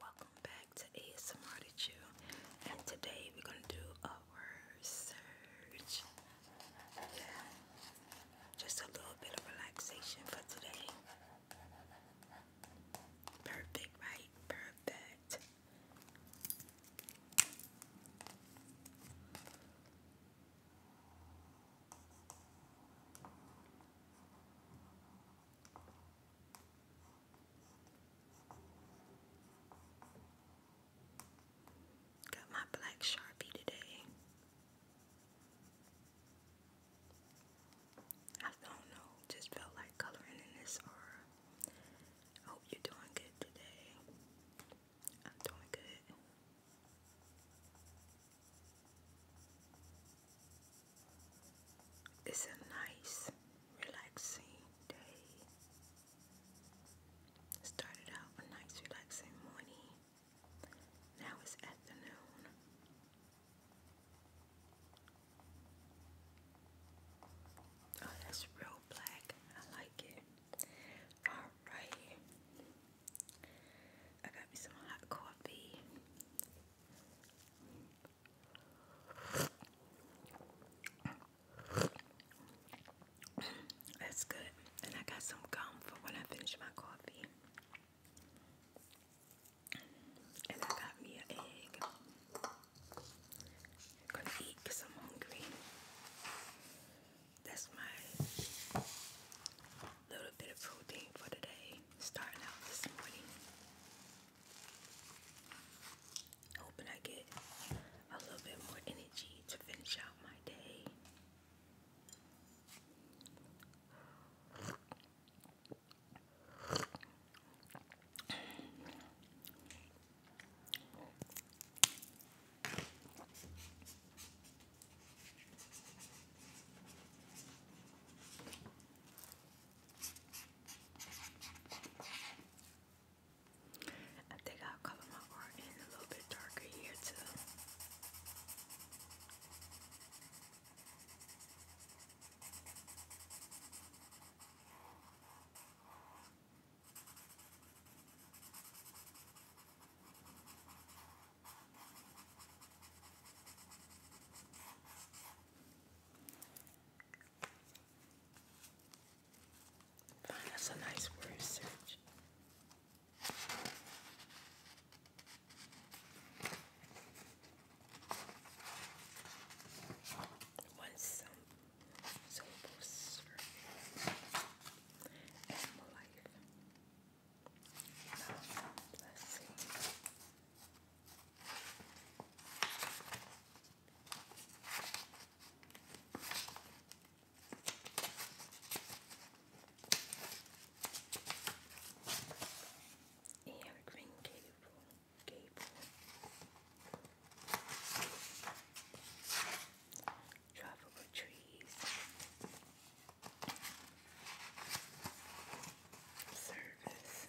Welcome back to ASMR to Chew, and today we're gonna do a word search. Yeah, just a little bit of relaxation for today. Perfect, right? Perfect. Got my black Sharpie today. I don't know, just felt like coloring in this aura. I hope you're doing good today. I'm doing good. It's a nice, relaxing day. Started out a nice, relaxing morning. Now it's afternoon. Oh, that's real black. I like it. Alright. I got me some hot coffee. That's good. And I got some gum for when I finish my coffee. And I got me an egg. gonna eat I'm hungry. That's my little bit of protein for today. Starting out this morning. Hoping I get a little bit more energy to finish out my day. I think I'll color my art in a little bit darker here too. Find us a nice word search. Once some soulful serving and life. Now, Air Green Gable. Gable. trees. Service.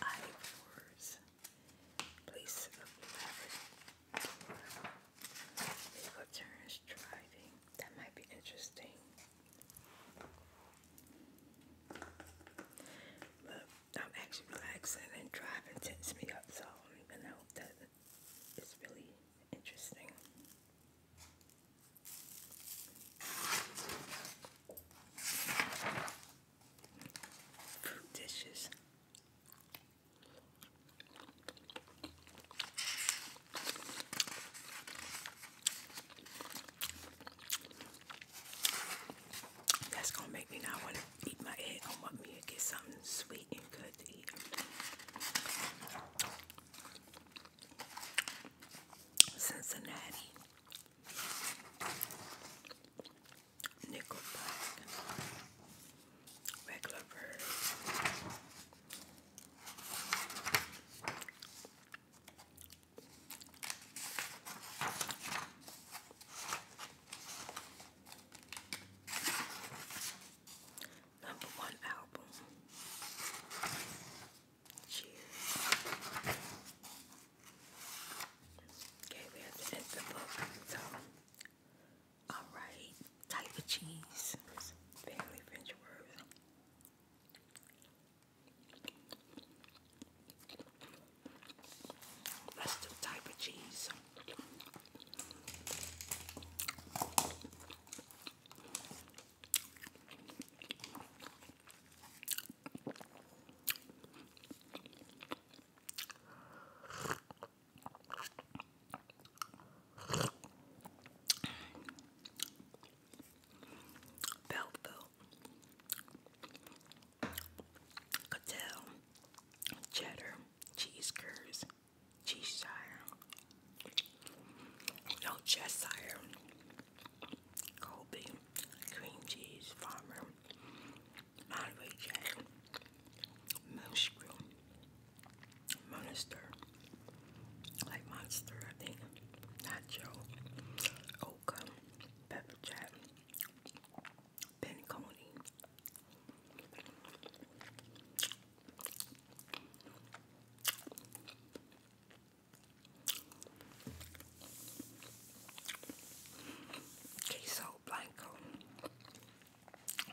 Ivor's place of labyrinth. Legal turns driving. That might be interesting. But I'm actually relaxing and driving tense me up, so I am not even know that it's really interesting dishes. That's gonna make me not want to eat my egg. I want me to get something sweet and good to eat. Cincinnati. Nickelback, black, Number one album. Cheers. Okay, we have to end the book. So, alright, type of cheese. Family French words. Let's type of cheese. Velvet, Cattell, cheddar, cheese curds, cheese shire, no Cheshire, Colby, cream cheese, farmer, Monterey Jack, Monster, like Monster, I think, Nacho, Oka, Pepper Jack, Pentacone. Queso Blanco.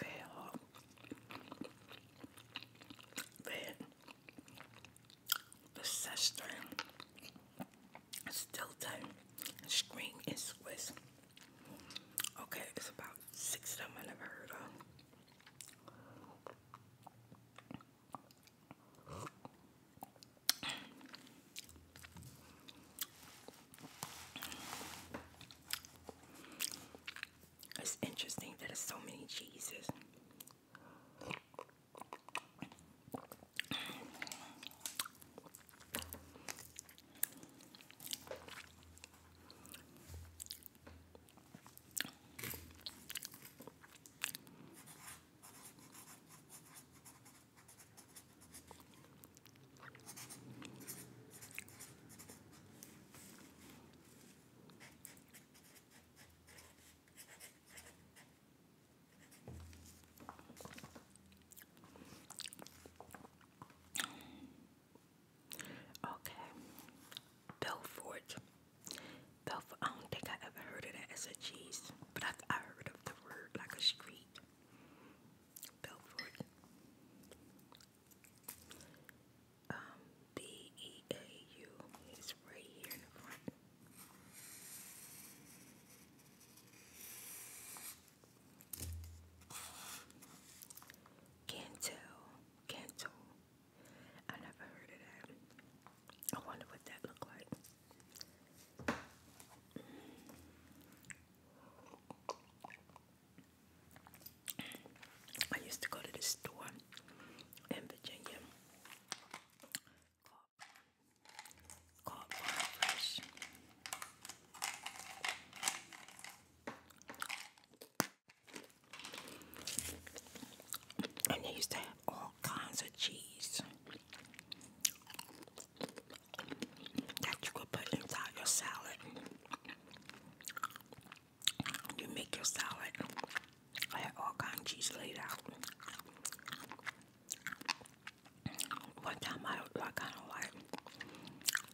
Red hot. Red. Stilton. Screen and Swiss. Okay, it's about six of them I never heard of. It's interesting that there's so many cheeses. Okay, Belfort. Belfort. I don't think I ever heard of that as a cheese, but I, I heard of the word like a street. Belfort. Um, B E A U is right here in front. Cantel, Canto. I never heard of that. I wonder what that looked like. I used to go to the store in Virginia And they used to have all kinds of cheese that you could put inside your salad. You make your salad. I had all kinds of cheese laid out. One time I, I kind of like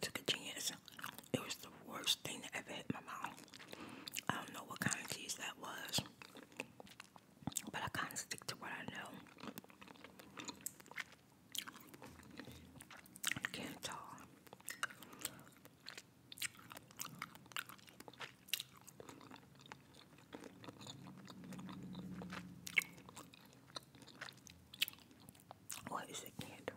took a chance. It was the worst thing that ever hit my mouth. I don't know what kind of cheese that was, but I kind of stick to what I know. I can't talk. What is a candle?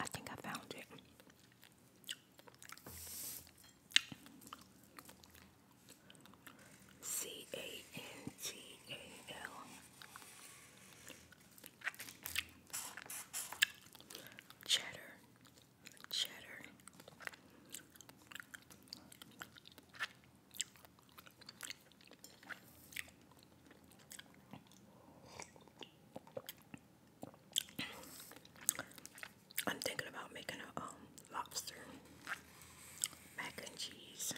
I think I found it. C A N T A L. Cheddar cheddar. I'm thinking about making a um, lobster mac and cheese.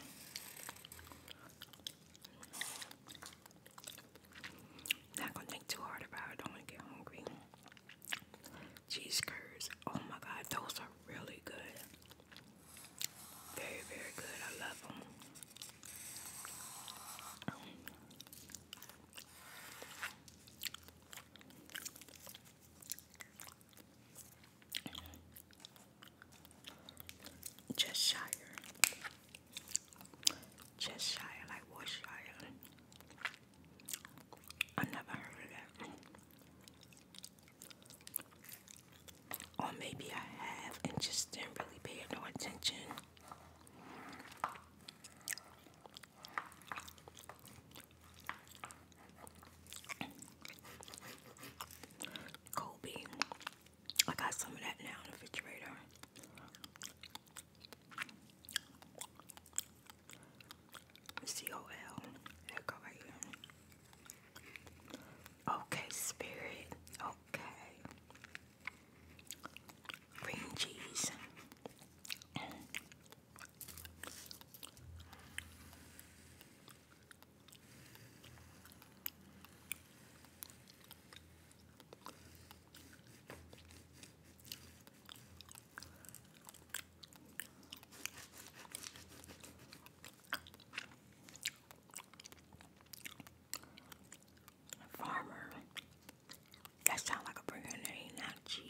Not gonna think too hard about Don't wanna get hungry cheese curds. Oh my god, those are really good. Very, very good. I love them. Just shire. Just shire, like Worcestershire. I never heard of that. Or maybe I have and just didn't really pay no attention. Kobe. I got some of that now in the refrigerator. C-O-L. There go Okay, spirit. Okay. Green cheese. Farmer. That sounds like a burger name, not cheese.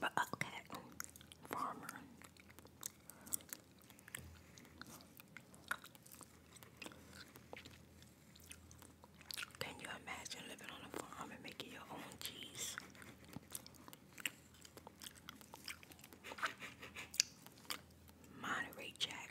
But okay, farmer. Can you imagine living on a farm and making your own cheese? Monterey Jack.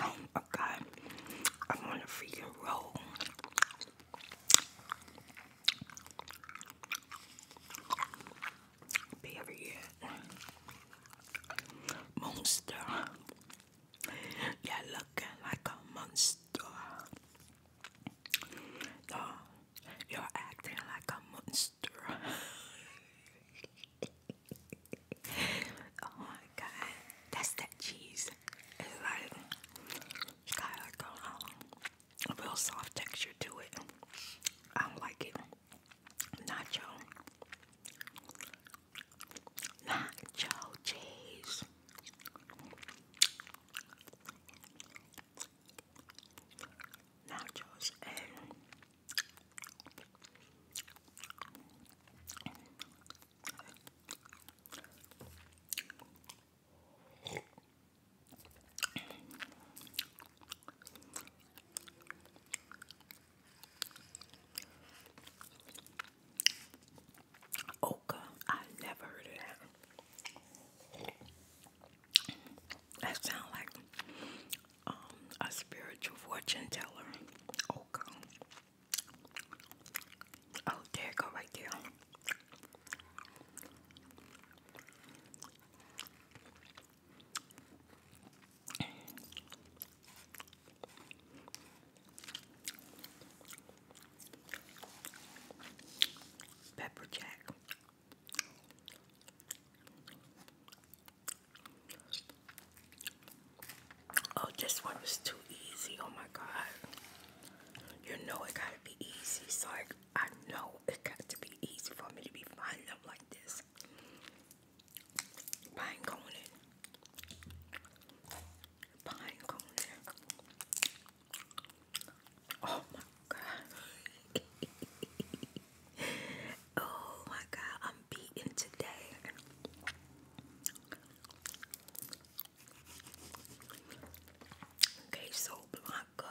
Oh my god, I'm on a freaking roll. Period. Monster. You're looking like a monster. No, you're acting like a monster. oh my god, that's that cheese. It's like it's got like a um, a real soft texture to it. I don't like it nacho, nacho cheese. Nachos and Oka, I never heard of that. That sounds like um, a spiritual fortune teller. Oka. Oh, there it go right there. Pepper Jack. Oh, this one was too easy. Oh my God. You know it gotta be easy. So I, I know it got to be easy for me to be finding them like this. Oh my god. oh my god, I'm beaten today. Okay, so Blanca uh,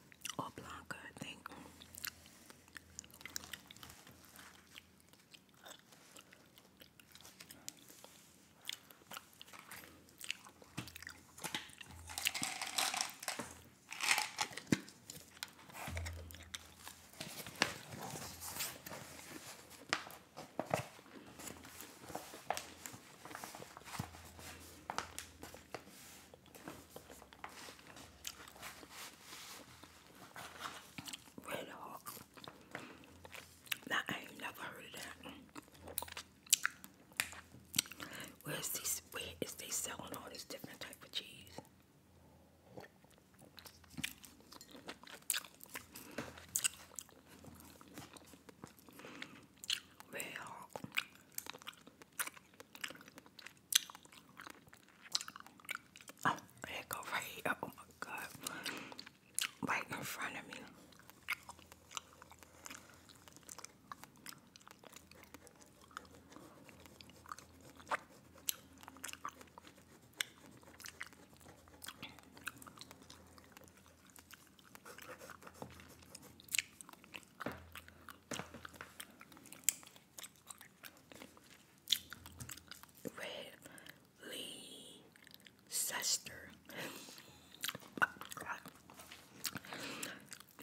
or Blanca, I think. Red Hawk. Now, I ain't never heard of that. Where is these? Where is they selling all these different type of cheese? Red Hawk. Oh, it here. Oh my god. Right in front of me. Red Lee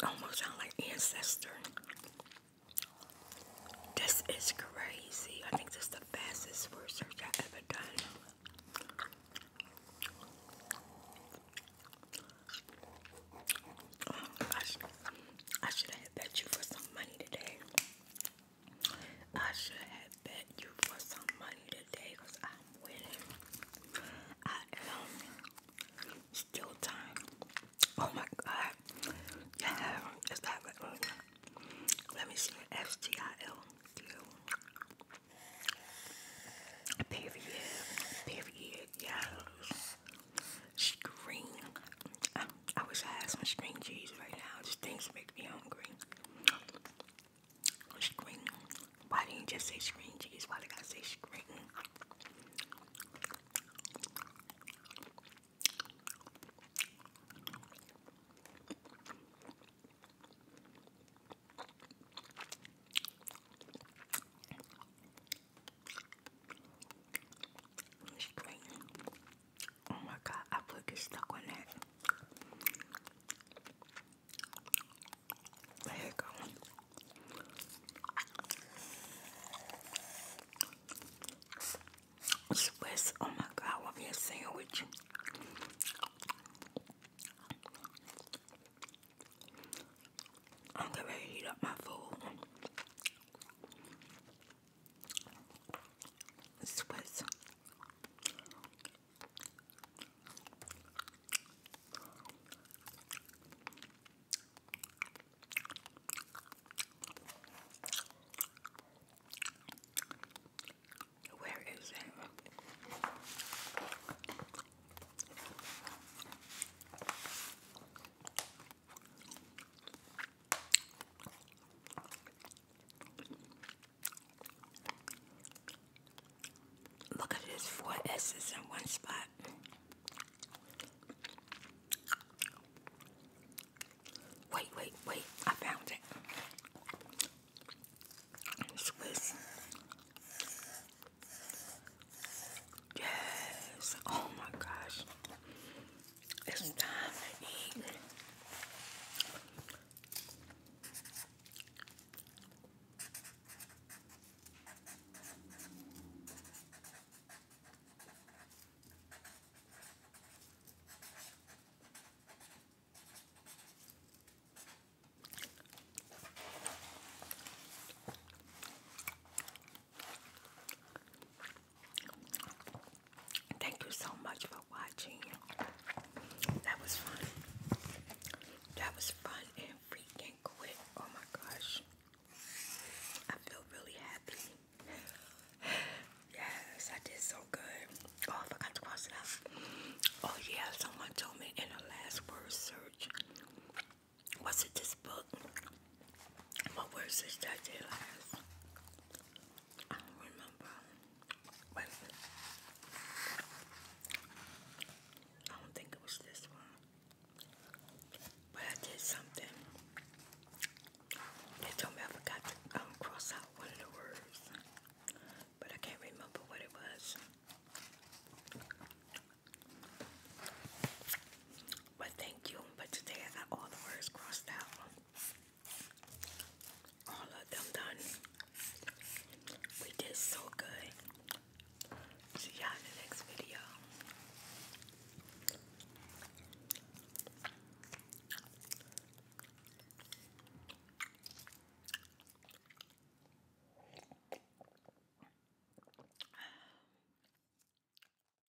Almost sound like ancestor. This is crazy. I think this is the fastest search I've ever done. Oh my gosh. I should have bet you for some money today. I should have bet you for some money today because I'm winning. I am. Still time. Oh my god. Yeah, it's that right. Let me see the Period. Period. Yes. String. I, I wish I had some string cheese right now. Just things make me hungry. String. Why did you just say string cheese? Why did I say string? Oh my god, I put get stuck on that. There you go. Swiss, oh my god, I want me sandwich. I'm gonna heat up my food. Swiss. Where is it? Look at this, four S's in one spot. Wait, wait, wait, I found it. Yes, oh my gosh. It's time to eat. Thank you so much for watching. That was fun. That was fun and freaking quick. Oh my gosh. I feel really happy. yes, I did so good. Oh, forgot to cross it out. Oh yeah, someone told me in the last word search. Was it this book? What was this that I did last? I don't remember. I don't think it was this one. But I did something. They told me I forgot to um, cross out one of the words. But I can't remember what it was. But thank you. But today I got all the words crossed out. All of them done. We did so good. See y'all in the next video.